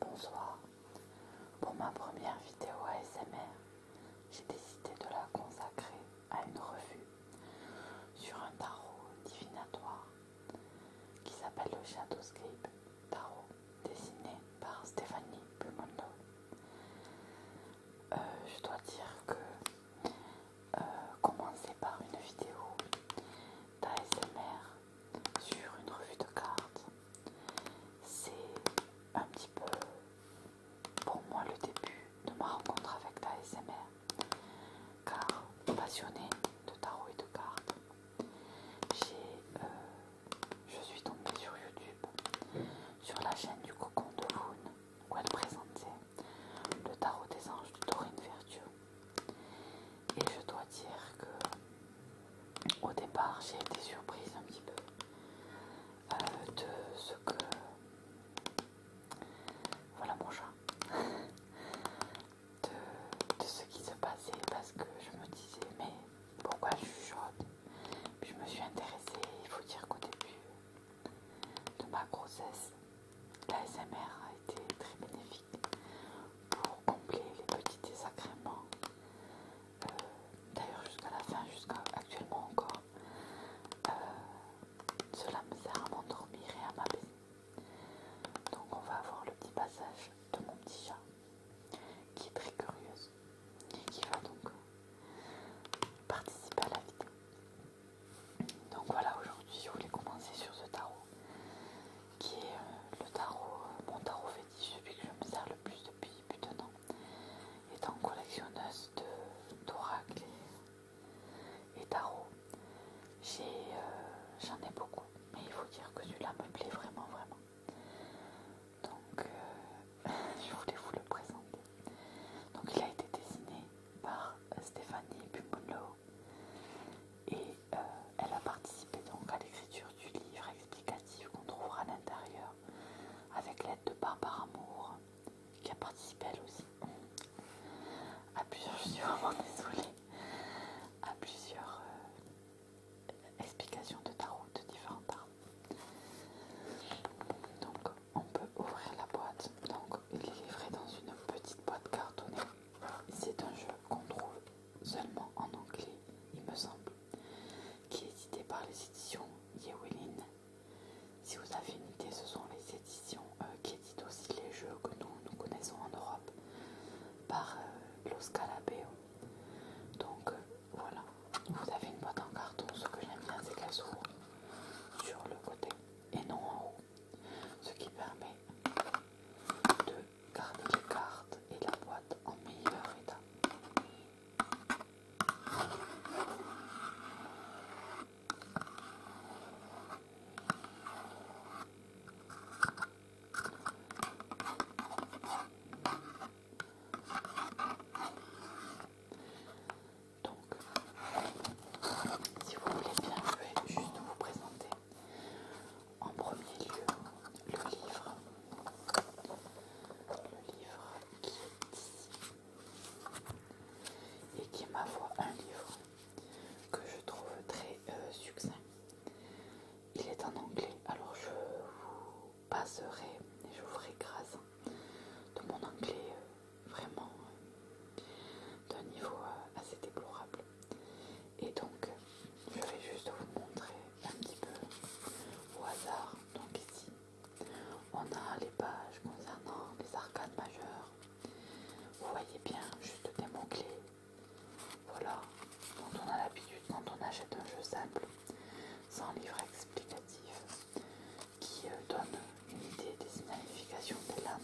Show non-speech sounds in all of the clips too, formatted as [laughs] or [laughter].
Bonsoir. Pour ma première vidéo ASMR, j'ai décidé de la consacrer à une revue sur un tarot divinatoire qui s'appelle le Shadowscape Tarot, dessiné par Stéphanie Bumondo. Euh, je dois dire que euh, commencer par une vidéo d'ASMR sur une revue de cartes, c'est un petit peu pour moi le début de ma rencontre avec ta SMR. Car passionnée de tarot et de cartes, euh, je suis tombée sur YouTube, sur la chaîne du cocon de Voon, où elle présentait le tarot des anges de Dorine Vertueux. Et je dois dire que au départ j'ai été surprise un petit peu euh, de ce que voilà mon chat de, ce qui se passait parce que je me disais mais pourquoi je chuchote je me suis intéressée, il faut dire qu'au début de ma grossesse, l'ASMR a été très bénéfique pour combler les petits désagréments. Euh, d'ailleurs jusqu'à la fin, jusqu'à actuellement encore, cela me sert à m'endormir et à m'apaiser. Donc on va avoir le petit passage de mon petit chat qui est très curieuse et qui va donc euh, participer à la vidéo. Donc voilà, aujourd'hui je voulais commencer sur ce tarot qui est euh, le tarot, euh, mon tarot fétiche, celui que je me sers le plus depuis plus d'un an, étant collectionneuse d'oracles et, tarots euh, J'en ai, beaucoup, mais il faut dire que celui-là me plaît vraiment, vraiment. Donc, [laughs] je voulais vous le présenter. Donc, il a été dessiné par Stéphanie Bumunlo et euh, elle a participé donc à l'écriture du livre explicatif qu'on trouvera à l'intérieur, avec l'aide de Barbara Moore, qui a participé elle aussi. À plusieurs, [laughs] je désolée, à plusieurs euh, explications de tarot de différents armes. Donc on peut ouvrir la boîte. Donc il est livré dans une petite boîte cartonnée. C'est un jeu qu'on trouve seulement en anglais, il me semble, qui est édité par les éditions Yewelin. Si vous avez une idée, ce sont les éditions euh, qui éditent aussi les jeux que nous, connaissons en Europe par euh, Donc euh, voilà, vous avez une boîte en carton. Ce que j'aime bien, c'est qu'elle s'ouvre sur le côté et non en haut, ce qui permet de garder les cartes et la boîte en meilleur état. Donc, si vous voulez bien, je vais juste vous présenter en premier lieu, le livre. Le livre qui est ici et qui est ma voix, un livre que je trouve très euh, succinct. Il est en anglais, alors je vous passerai et je vous ferai grâce de mon anglais euh, vraiment euh, d'un niveau assez déplorable. Et donc, je vais juste vous montrer un petit peu au hasard. Donc ici, on a les pages concernant les arcades majeures. Vous voyez bien juste des mots-clés. Voilà, dont on a l'habitude quand on achète un jeu simple, sans livre explicatif, qui euh, donne une idée des significations des lames.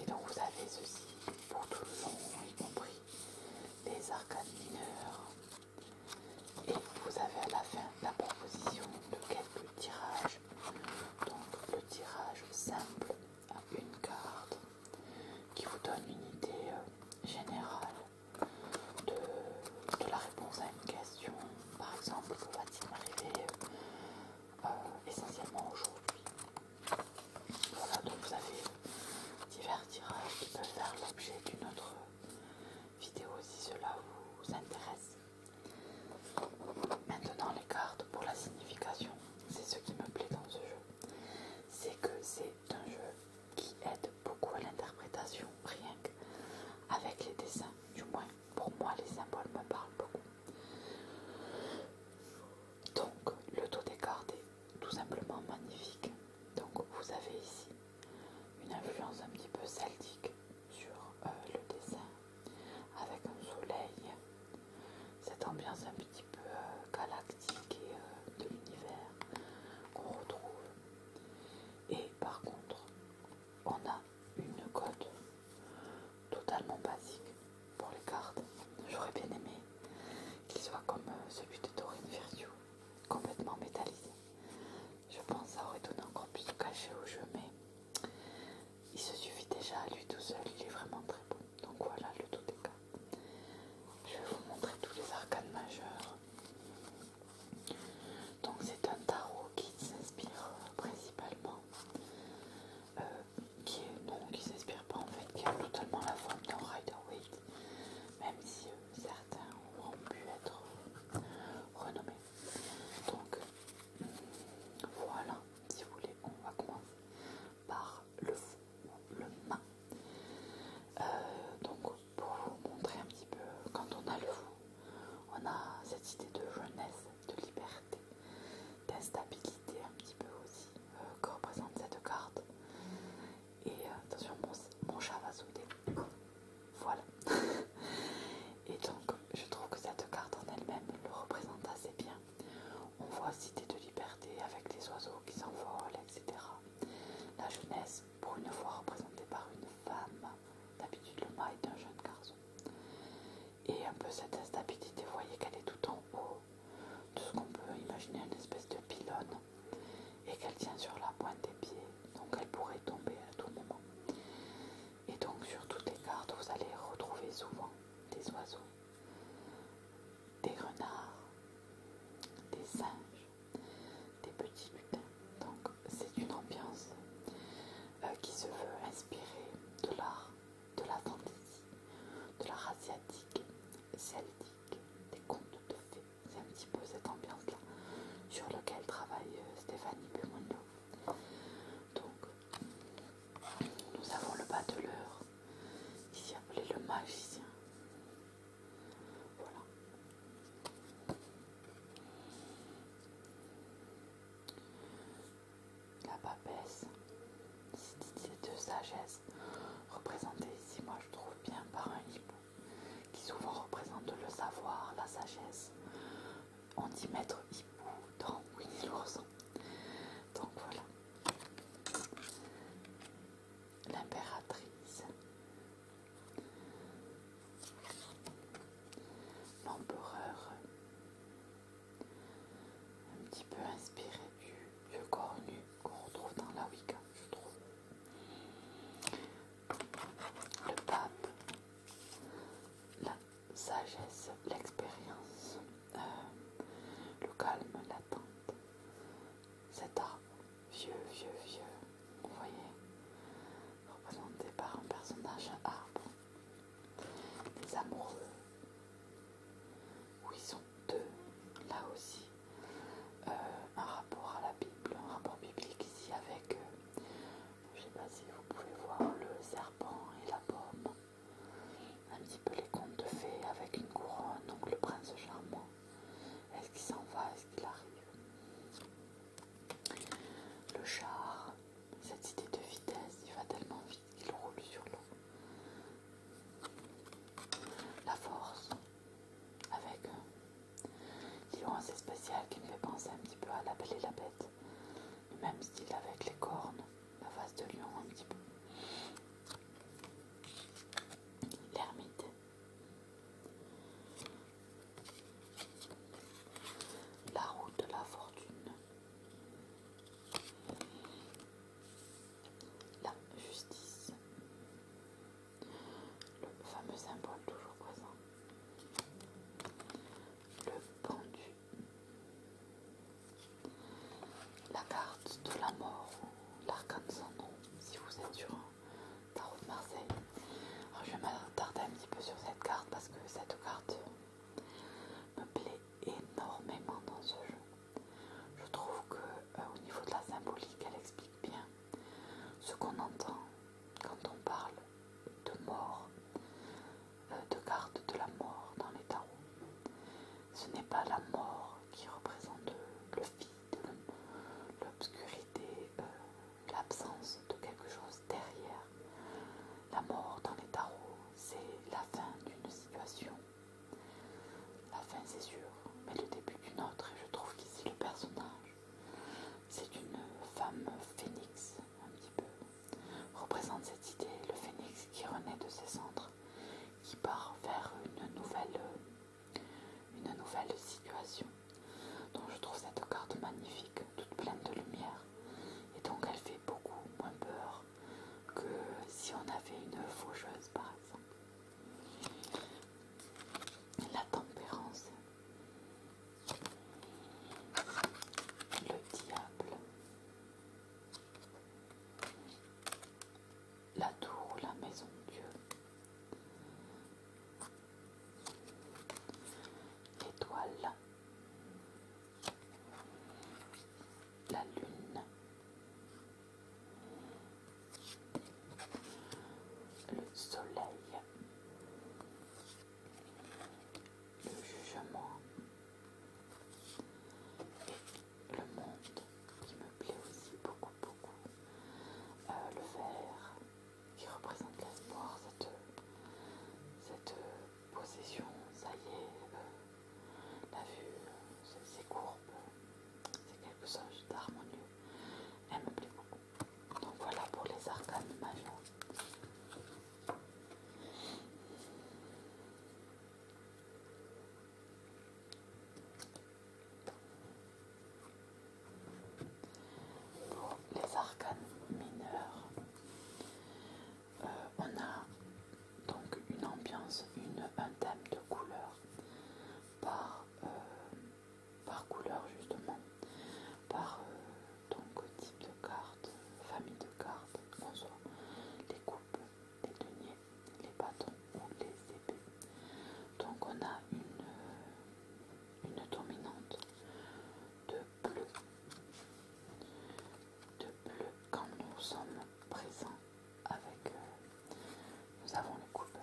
Et donc vous avez ceci pour tout le long, y compris les arcades mineures. Et vous avez à la fin la proposition de quelques tirages. Donc le tirage simple à une carte qui vous donne une idée euh, générale de, la réponse à une question. Par exemple, que va-t-il m'arriver euh, euh, essentiellement aujourd'hui. Voilà, donc vous avez divers tirages qui peuvent faire l'objet d'une autre vidéo si cela vous intéresse. Maintenant, les cartes pour la signification, c'est ce qui me plaît dans ce jeu. C'est que c'est un jeu qui aide beaucoup à l'interprétation, rien qu'avec les dessins, du moins pour moi, les symboles me parlent beaucoup. Donc, le taux cartes est tout simplement magnifique. Donc, vous avez ici une influence un petit peu celtique sur euh, le dessin, avec un soleil, cette ambiance un petit peu euh, galactique et euh, de l'univers qu'on retrouve. Et par contre, on a une cote totalement basique pour les cartes. J'aurais bien aimé qu'il soit comme euh, celui de Dorine Virtue, complètement métallisé. Je pense que ça aurait donné encore plus de cachet au jeu, mais il se suffit déjà à lui tout seul, il est vraiment très bon. Donc voilà le tout des cartes. Je vais vous montrer tous les arcanes majeurs. Donc c'est un tarot qui s'inspire euh, principalement euh, qui est donc qui s'inspire pas en fait, qui a totalement la forme de Rider Waite, même si euh, certains auront pu être euh, renommés. Donc voilà, si vous voulez, on va commencer par le fou, le main. donc pour vous montrer un petit peu, quand on a le fou, on a cette idée de jeunesse, de liberté d'instabilité un petit peu aussi euh, que représente cette carte. Et euh, attention, mon, chat va sauter. Voilà. [laughs] Et donc, je trouve que cette carte en elle-même le représente assez bien. On voit Cité de Liberté avec les oiseaux qui s'envolent, etc. La jeunesse, pour une fois représentée par une femme. D'habitude, le mât est un jeune garçon. Et un peu cette instabilité, vous voyez qu'elle est tout en haut de ce qu'on peut imaginer une espèce de pylône et qu'elle tient sur la pointe des pieds, donc elle pourrait tomber à tout moment. Et donc sur toutes les cartes, vous allez retrouver souvent des oiseaux, des renards, des singes, des petits lutins. Donc c'est une ambiance euh, qui se veut inspirée de l'art, de la fantaisie, de l'art asiatique, celtique, des contes de fées. C'est un petit peu cette ambiance-là sur laquelle travaille euh, Stéphanie Bimondo. Donc, nous avons le qui ici appelé le magicien. Voilà la papesse, c'est de sagesse, représentée ici, moi je trouve bien par un hippo, qui souvent représente le savoir, la sagesse. On dit maître hippo dans Winnie l'ourson. Donc voilà. L'impératrice l'empereur, un petit peu inspiré du vieux corps nu qu'on retrouve dans la Wicca, je trouve. Le pape, la sagesse, l'expérience, euh, le calme, l'attente, cet arbre vieux, vieux, vieux, vous voyez, représenté par un personnage arbre des amoureux, où ils sont deux, là aussi, euh, un rapport à la Bible, un rapport biblique ici avec, euh, je sais pas si vous pouvez voir le serpent et la pomme, un petit peu les contes de fées avec une couronne, donc le prince charmant. Est-ce qu'il s'en va Est-ce qu'il arrive le char, cette idée de vitesse, il va tellement vite qu'il roule sur l'eau. La force, avec un euh, lion assez spécial qui me fait penser un petit peu à la belle et la bête. Le même style avec les cornes, la face de lion un petit peu. L'ermite. La route de la fortune. La justice. Le fameux symbole toujours présent. Le pendu. La carte de la mort l'arcane sans nom si vous êtes sur tarot de Marseille. Oh, je vais m'attarder un petit peu sur cette carte parce que cette carte me plaît énormément dans ce jeu. Je trouve que euh, au niveau de la symbolique, elle explique bien ce qu'on entend quand on parle de mort, euh, de carte de la mort dans les tarots. Ce n'est pas la mort qui représente le vide, l'obscurité, euh, l'absence de quelque chose derrière. La mort dans les tarots, c'est la fin d'une situation. La fin, c'est sûr, mais le début d'une autre, et je trouve qu'ici le personnage, c'est une femme phénix, un petit peu, représente cette idée, le phénix qui renaît de ses centres, qui part vers une nouvelle, une nouvelle situation. Donc je trouve cette carte magnifique, toute pleine de lumière. Et donc elle fait beaucoup moins peur que si on avait une faucheuse par exemple. La tempérance. Le diable. La tour, la maison de Dieu l'étoile, la lune, le soleil, le jugement et le monde qui me plaît aussi beaucoup beaucoup, euh, le verre qui représente l'espoir, cette, cette euh, possession, ça y est, euh, la vue, euh, ces courbes, c'est quelque chose d'harmonieux. Elle me plaît beaucoup. Donc voilà pour les arcanes majeures. Pour les arcanes mineurs, euh, on a donc une ambiance, une, un thème de couleurs euh, par, couleur justement, par euh, type de carte, famille de cartes, soit les coupes, les deniers, les bâtons ou les épées. Donc on a une, une dominante de bleu, de bleu quand nous sommes présents avec, euh, nous avons les coupes,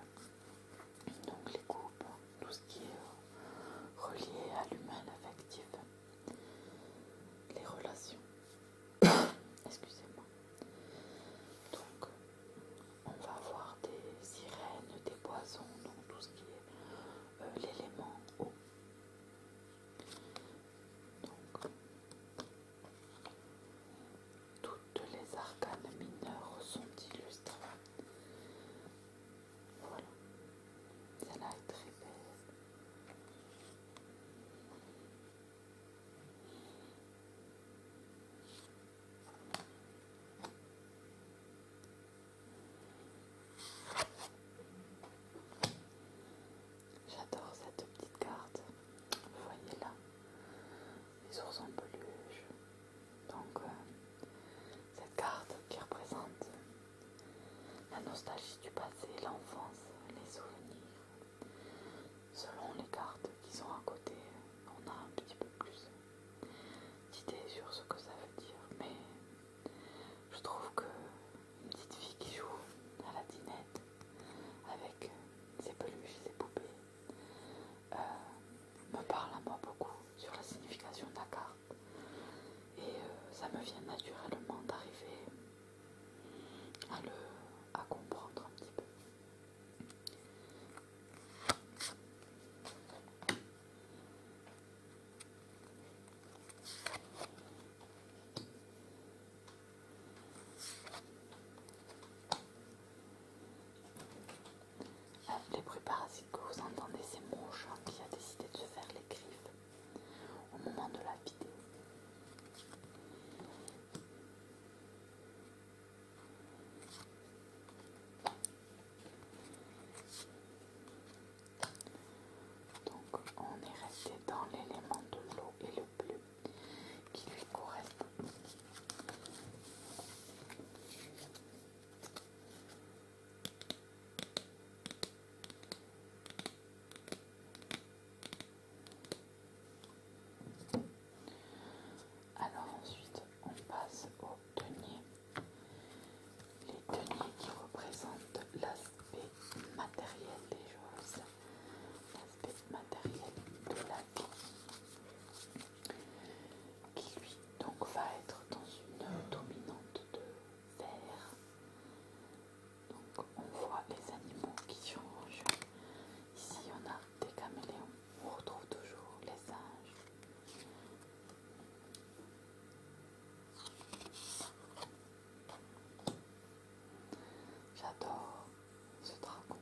donc les coupes, tout ce qui est relié à l'humain, affectif, les relations, [coughs] excusez-moi, donc on va voir des sirènes, des poissons, donc tout ce qui est euh, l'élément eau. Donc, toutes les arcanes mineures sont illustrées. Voilà. Celle-là est très J'adore cette petite carte. Vous voyez là les ours en peluche. Donc, euh, cette carte qui représente la nostalgie du passé, l'enfance, les souvenirs. Selon les cartes qui sont à côté, on a un petit peu plus d'idées sur ce que ça veut dire, mais je trouve que une petite fille qui joue à la dinette avec ses peluches, ses poupées, euh, me parle à moi beaucoup sur la signification de la carte. Et euh, ça me vient naturellement d'arriver à le à comprendre un petit peu. Les bruits parasites que vous entendez, c'est mon chat qui a décidé de se faire les griffes au moment de la vidéo. Donc on est resté dans l'élément de l'eau et le bleu qui lui correspond. Alors ensuite, on passe aux deniers. Les deniers qui représentent l'aspect matériel des choses, l'aspect matériel de la vie, qui lui donc va être dans une dominante de verre. Donc on voit les animaux qui sont Ici on a des caméléons. On retrouve toujours les singes. J'adore ce dragon.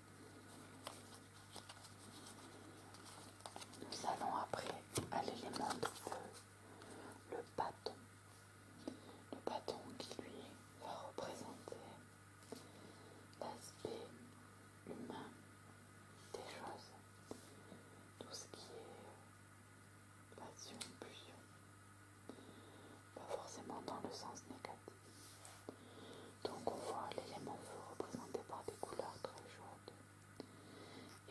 Nous allons après à l'élément de feu, le bâton. Le bâton qui lui va représenter l'aspect humain des choses, tout ce qui est passion, pulsion, pas forcément dans le sens négatif. Donc on voit l'élément feu représenté par des couleurs très jaunes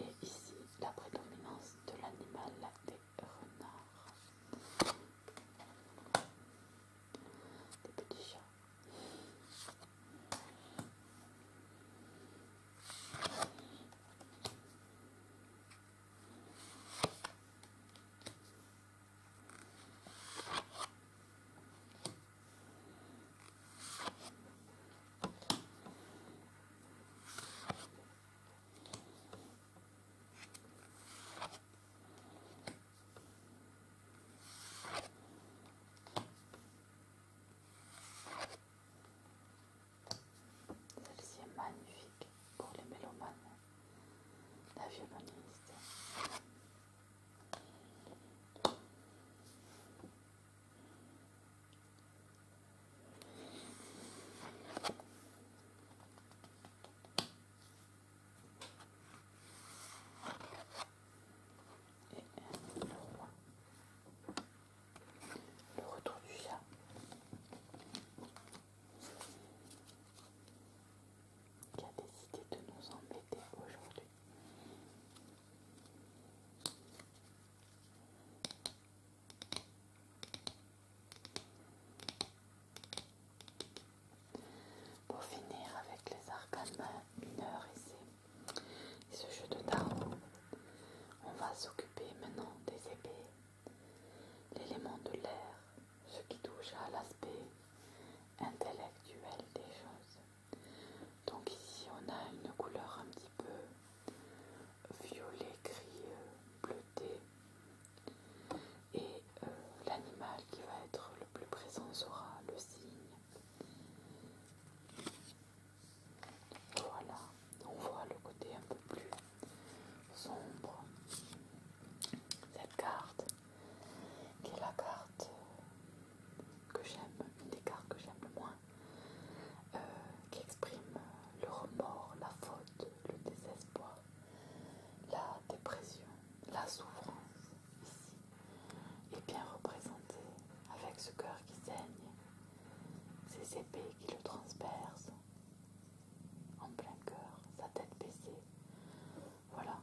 Et ici, la prédominance de l'animal des renards. Des petits chats. Celle-ci est magnifique pour les mélomanes. La violoniste. Le retour du chat. Qui a décidé de nous embêter aujourd'hui. Pour finir avec les arcanes mineurs ici, et ce jeu de tarot, on va s'occuper maintenant des épées, l'élément de l'air, ce qui touche à l'aspect intellectuelle des choses. Donc ici on a une couleur un petit peu violet, gris, euh, bleuté. Et euh, l'animal qui va être le plus présent sera le cygne. Voilà, on voit le côté un peu plus sombre. Cette carte qui est la carte que j'aime, une des cartes que j'aime le moins, euh, qui exprime le remords, la faute, le désespoir, la dépression, la souffrance ici et bien représentée avec ce cœur qui saigne, ses épées qui le transpercent en plein cœur, sa tête baissée, voilà,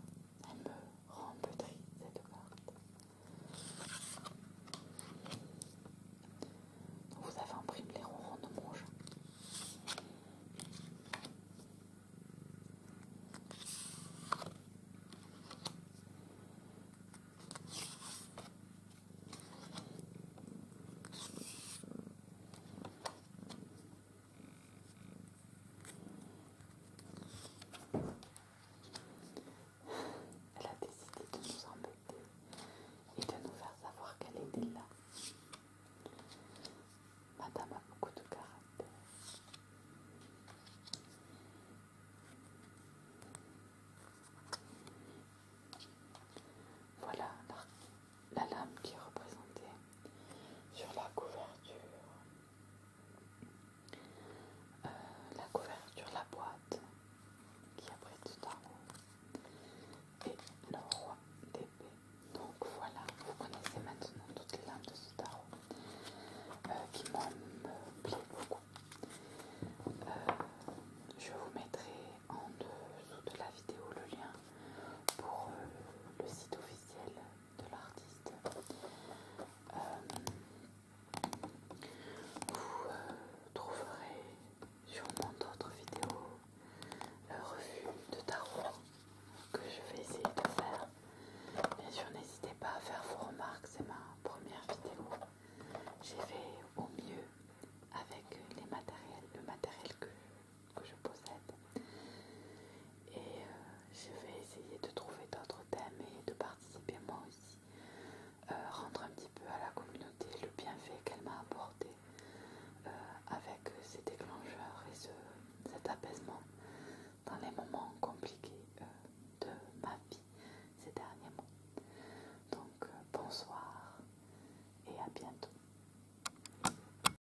elle me rend peu cette carte. vous avez imprimé les ronds de mon elle a décidé de nous embêter et de nous faire savoir qu'elle était là. Madame a beaucoup de caractère. Voilà la, lame qui est représentée sur la couverture. Euh, la couverture, la boîte qui abrite Tarot et le roi d'épée. Donc voilà, vous connaissez maintenant toutes les lames de ce tarot euh, qui moi bien beaucoup. Euh, je vous mettrai en dessous de la vidéo le lien pour le site officiel de l'artiste. Euh, vous euh, trouverez sur mon autre vidéo la euh, revue de tarot que je vais essayer de faire. Bien sûr, n'hésitez pas à faire vos remarques, c'est ma première vidéo. J'ai fait au mieux avec les matériels, le matériel que que je possède. Et euh, je vais essayer de trouver d'autres thèmes et de participer moi aussi, euh, rendre un petit peu à la communauté le bienfait qu'elle m'a apporté euh, avec ces déclencheurs et cet apaisement dans les moments compliqués de ma vie ces derniers mois. Donc bonsoir et à bientôt.